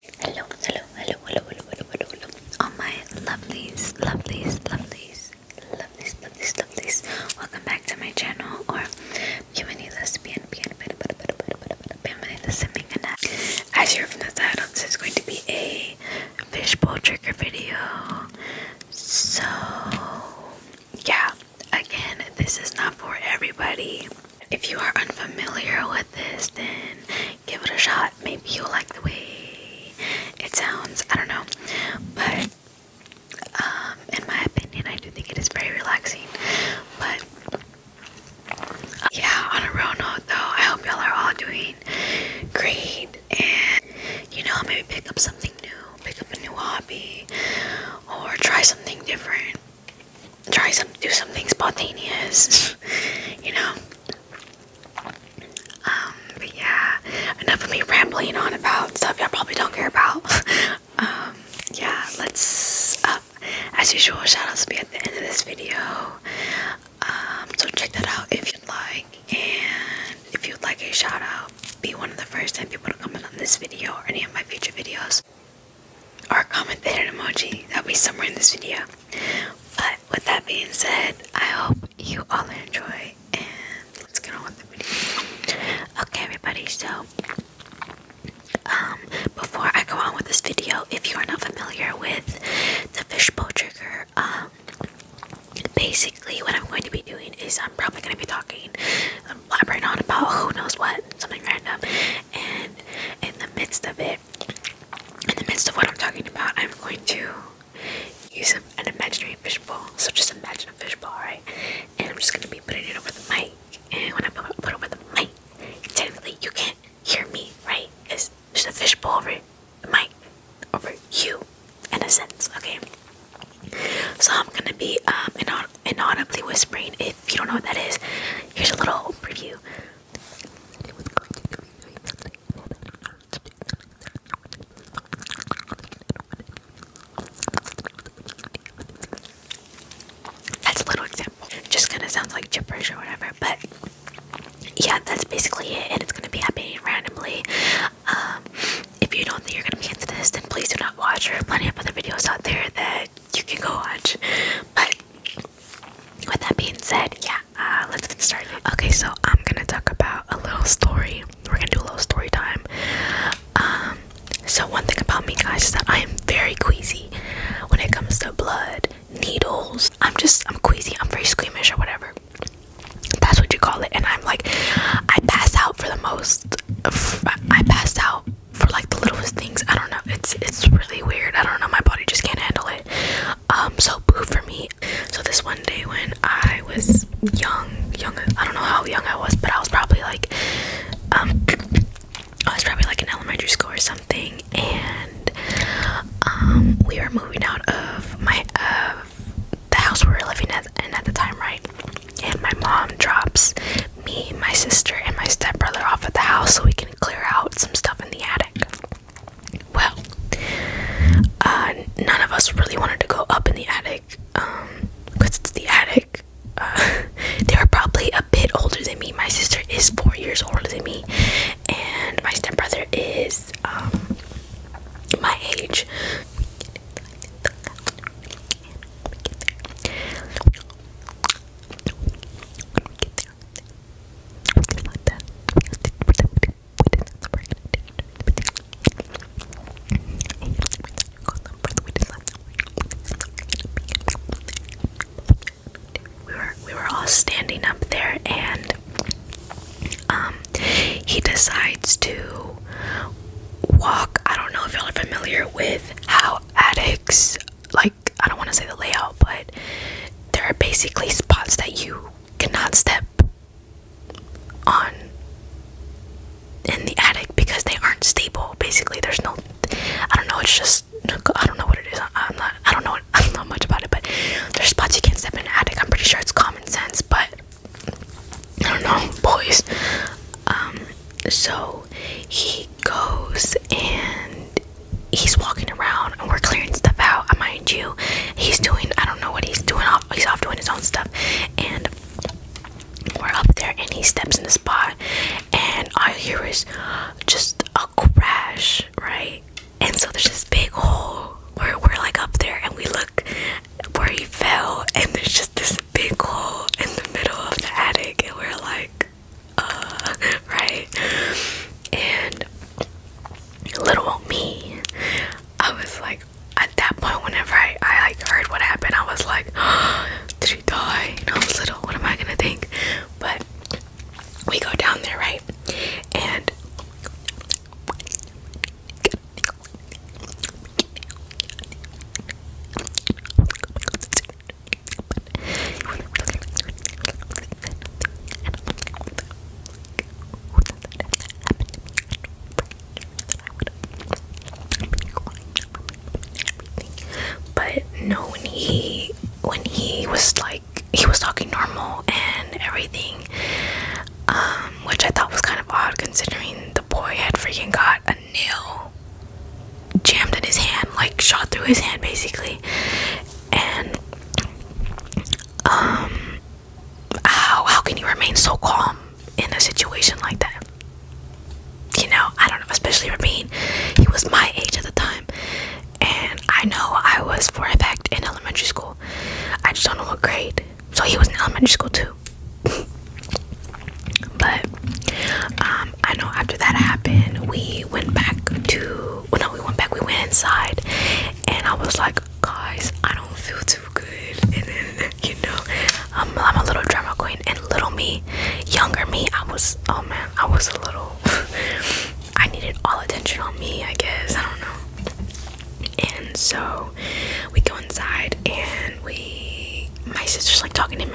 Hello, hello, hello, hello, hello, hello, hello, hello. All my lovelies, lovelies, lovelies, lovelies, lovelies, lovelies. Welcome back to my channel, or bienvenidos, bien, bien, bien, bienvenidos a mi canal. As you're from the title, this is going to be a fishbowl trigger video. So, yeah, again, this is not for everybody. If you are unfamiliar with this, then give it a shot. Maybe you'll like the way it sounds. I don't know. But um, in my opinion, I do think it is very relaxing. But yeah, on a real note though, I hope y'all are all doing great and you know, maybe pick up something new, pick up a new hobby, or try something different try some do something spontaneous, you know. Um, but yeah, enough of me rambling on about stuff y'all probably don't care about. Um, yeah, let's uh, as usual, shout outs will be at the end of this video. Um, so check that out if you'd like, and if you'd like a shout out, be one of the first 10 people to comment on this video or any of my future videos or a comment there emoji. That'll be somewhere in this video. But with that being said, I hope you all enjoy and let's get on with the video. Okay everybody, so um before I go on with this video, if you are not familiar with the fishbowl trigger, um basically what I'm going to be doing is I'm probably gonna be talking I'm elaborating on about who knows what, something random and in the midst of it in the midst of what I'm talking about, I'm going to use an imaginary fishbowl. So just imagine a fishbowl, right? And I'm just going to be putting it over the mic. And when I put, it over the mic, technically you can't hear me, right? It's just a fishbowl over the mic, over you, in a sense, okay? So I'm going to be um, inaudibly whispering. If you don't know what that is, here's a little preview. That's a little example. Just kind of sounds like gibberish or whatever, but yeah, that's basically it, and it's gonna be happening randomly. Um, if you don't think you're gonna be into this, then please do not watch. There are plenty of other videos out there that you can go watch, but with that being said, yeah, uh, let's get started. Okay, so I'm gonna talk about a little story. We're gonna do a little story time. Um, so one thing about me, guys, is that I am very queasy when it comes to blood, needles. I'm just, I'm queasy. I'm very squeamish or whatever. That's what you call it. And I'm like, I pass out for the most. I pass out for like the littlest things. I don't know. It's it's really weird. I don't know, my body just can't handle it. Um, so boo for me. So this one day when I was young, young I don't know how young I was, but I was probably like um I was probably like in elementary school or something and um we were moving out of my uh the house we were living at and at the time, right? And my mom drops me, my sister, and my stepbrother off at the house so we can clear out some stuff in the attic. Well, uh, none of us really wanted to go up in the attic because um, it's the attic. Uh, they are probably a bit older than me. My sister is four years older than me, and my stepbrother is um, my age. We were we were all standing up there and um he decides to walk. I don't know if y'all are familiar with how addicts like I don't want to say the layout, but there are basically spots that you cannot step on in the attic because they aren't stable. Basically, there's no I don't know, it's just I don't know what it is. I'm not I don't know I don't know much about it, but there's spots you can't step in an attic. I'm pretty sure it's common sense, but I don't know, boys. Um so he goes and he's walking around and we're clearing stuff out. I mind you, he's doing I don't know what he's doing. Off, he's off doing his own stuff, and we're up there and he steps in the spot, and all I hear is just a crash, right? And so there's this big hole where we're like up there, and we look where he fell, and there's just this big hole in the middle of the attic, and we're like, right? And little me, I was like, at that point, whenever I, I like heard what happened, I was like, oh, did she die? I was little, what am I gonna think? But we go down there, right? And but no, when he when he was like he was talking normal and everything, um, which I thought was kind of odd considering the boy had freaking got a nail jammed in his hand, like shot through his hand basically and um how how can you remain so calm in a situation like that? You know, I don't know, especially for he was my age at the time. And I know I was for a fact in elementary school. I just don't know what grade. So he was in elementary school too. but um I know after that happened, we went back to well, no, we went back, we went inside, and I was like, guys, I don't feel too good. And then, you know, I'm a little drama queen, and little me, younger me, I was, oh man, I was a little, I needed all attention on me, I guess, I don't know. And so we go inside, and we, my sister's like talking to him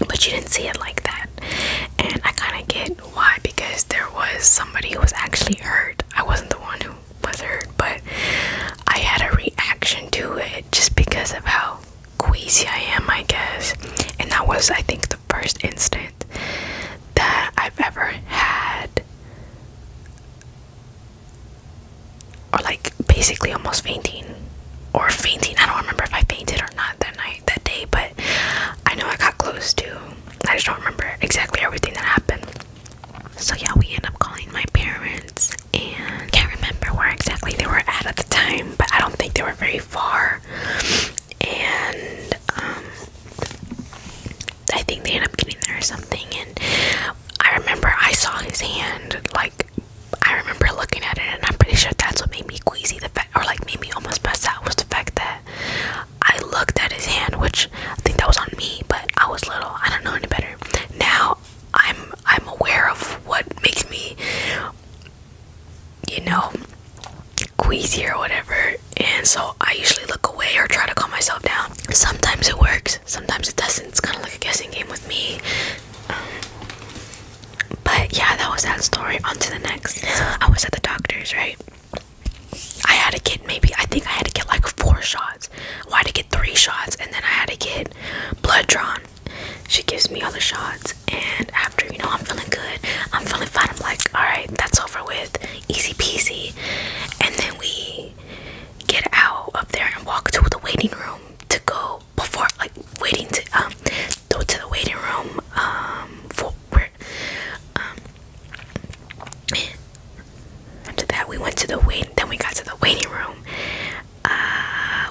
And but you didn't see it like that. And I kind of get why because there was somebody who was actually hurt. I wasn't the one who was hurt, but I had a reaction to it just because of how queasy I am, I guess. And that was, I think, the first instant that I've ever had, or like basically almost fainting, or fainting. I don't remember if I fainted or not that night, that day, but I know I got close to. I just don't remember exactly everything that happened. So yeah, we end up calling my parents and can't remember where exactly they were at at the time, but I don't think they were very far. And um, I think they ended up getting there or something. And I remember I saw his hand, like I remember looking at it, and I'm pretty sure that's what made me queasy, the fact, or like made me almost pass out, was the fact that I looked at his hand, which I think that was on me, but I was little. I don't know any better. Now I'm I'm aware of what makes me you know queasy or whatever and so I usually look away or try to calm myself down. Sometimes it works, sometimes it doesn't. It's kinda like a guessing game with me. Um, but yeah, that was that story. On to the next. I was at the doctor's, right? I had to get maybe I think I had to get like four shots. I had to get three shots and then I had to get blood drawn. She gives me all the shots, and after you know, I'm feeling good, I'm feeling fine. I'm like, all right, that's over with, easy peasy. And then we get out of there and walk to the waiting room to go before, like, waiting to um, go to the waiting room um, for um. After that, we went to the wait. Then we got to the waiting room. Uh,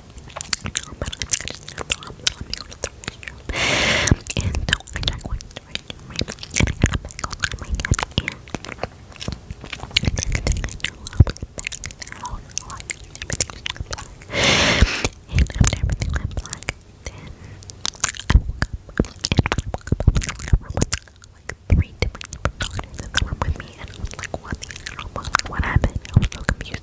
And so I drank one right, right, and I got back on my head, and next thing I know, I was back out, like, everything went black. And after everything went black, then I woke up, and when I woke up, I was like, I was like, three different, different doctors in the room with me, and I was like, what the hell, what happened? I was so confused.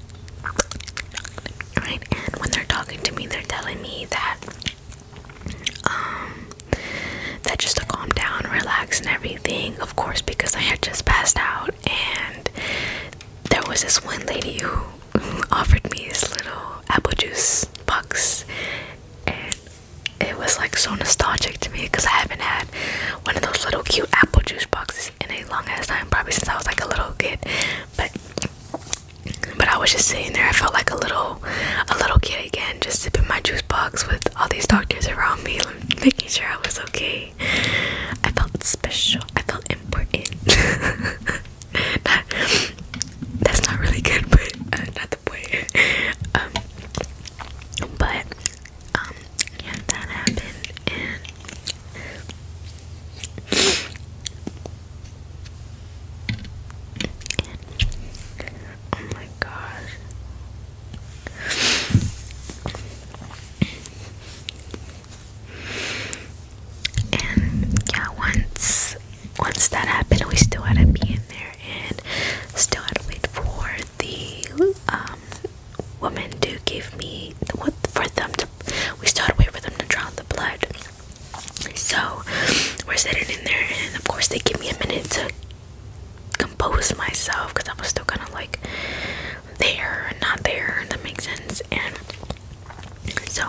Right? And when they're talking to me, they're telling me that um that just to calm down, relax and everything, of course, because I had just passed out and there was this one lady who offered me this little apple juice box and it was like so nostalgic to me because I haven't had one of those little cute apple juice boxes in a long ass time, probably since I was like a little kid but but I was just sitting there. I felt like a little a little kid again, just sipping my juice box with all these doctors around me, making sure I was okay. I felt special. I felt important. that's not really good, but uh, not the point. Um, but um, yeah, that happened, Oh my god! And yeah, once once that happened, we still had to be in there and still had to wait for the um woman to give me what for them we still waiting for them to draw the blood. So we're sitting in there, and of course they give me a minute to compose myself because I was still kind of like there and not there. And that makes sense. And so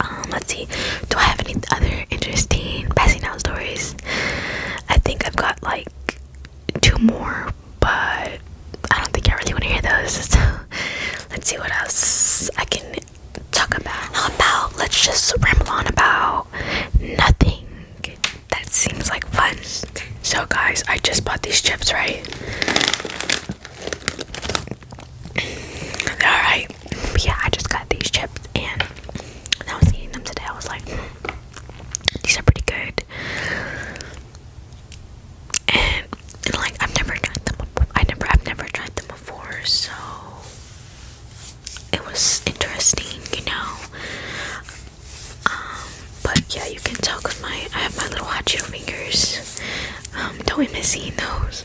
Um, let's see. Do I have any other interesting passing out stories? I think I've got like two more, but I don't think I really want to hear those. let's see what else I can talk about. How about let's just ramble on about nothing? That seems like fun. So, guys, I just bought these chips, right? Alright. Yeah, I just got these chips and I was eating them today, I was like, these are pretty good. And, like I've never tried them I never I've never tried them before, so it was interesting, you know. Um, but yeah, you can tell because my I have my little hot cheeto fingers. Um, don't be missing those.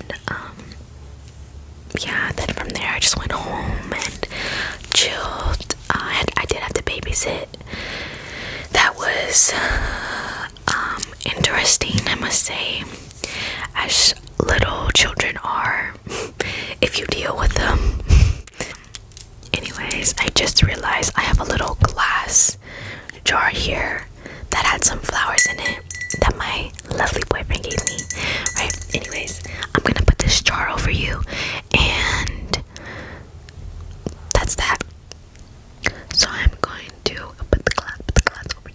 and um yeah then from there i just went home and chilled uh, i had, i did have to babysit that was uh, um interesting i must say as little children are if you deal with them anyways i just realized i have a little glass jar here that had some flowers in it that my lovely boyfriend gave me. Right? Anyways, I'm gonna put this jar over you, and that's that. So I'm going to put the glass, put the glass over you.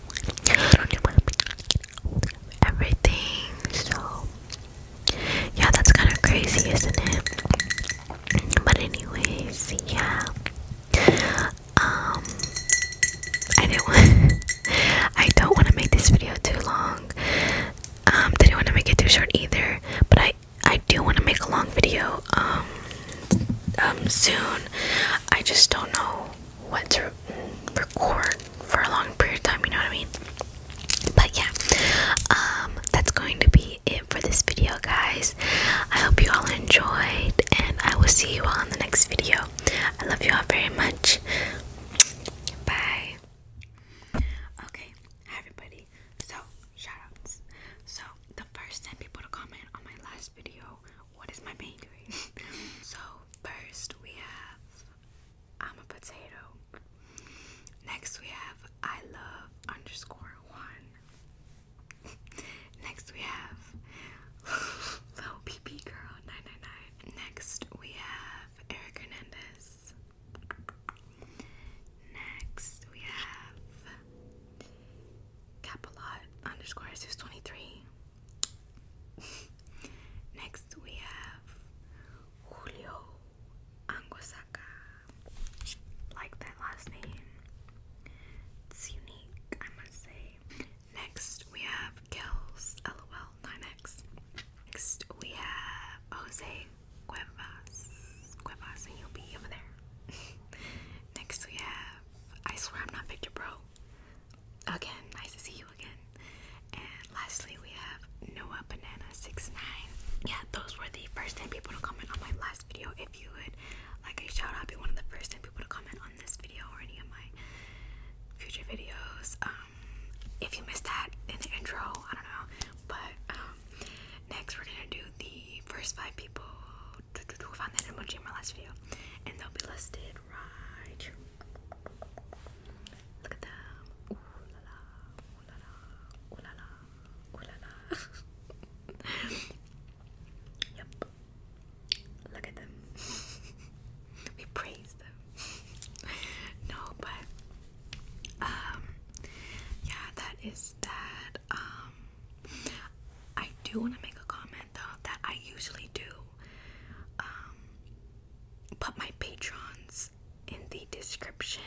everything. So yeah, that's kind of crazy, isn't it? But anyways, yeah. Um, I didn't I don't want to make this video too long. Um, didn't want to make it too short either. But I I do want to make a long video. Um, um, soon. I just don't know what to record for a long period of time, you know what I mean? But yeah, um, that's going to be it for this video, guys. I hope you all enjoyed, and I will see you all in the next video. I love you all very much. Bye. Okay, hi everybody. So, shoutouts. So, the first 10 people to comment on my last video, what is my main so, first we have I'm a potato. Next we have I love underscore one. Next we have Little oh, PP Girl 999. Next we have Eric Hernandez. Next we have Capalot underscore 623. Next we have Julio Anguasaca. Like that last name. It's unique, I must say. Next we have Kels. LOL 9X. Next we have Jose Cuevas. Cuevas and you'll be over there. Next we have I swear I'm not Victor Bro again, nice to see you again. And lastly, we have Noah Banana Six Nine. Yeah, those were the first 10 people to comment on my last video. If you would like a shout out, be one of the first 10 people to comment on this video or any of my future videos. Um, if you missed that in the intro, I don't know. But um, next, we're gonna do the first five people Find that emoji in my last video, and they'll be listed right Look at them. Ooh la la, ooh la la, ooh la la, ooh la la. yep. Look at them. we praise them. no, but um, yeah, that is that. Um, I do want to make a comment though that I usually do um, put my patrons in the description,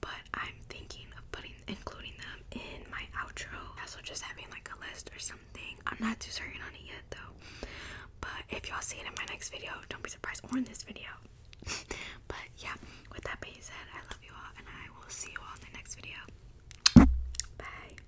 but I'm thinking of putting including them in my outro. Also just having like a list or something. I'm not too certain on it yet though. But if y'all see it in my next video, don't be surprised or in this video. but yeah, with that being said, I love you all and I will see you all in the next video. Bye.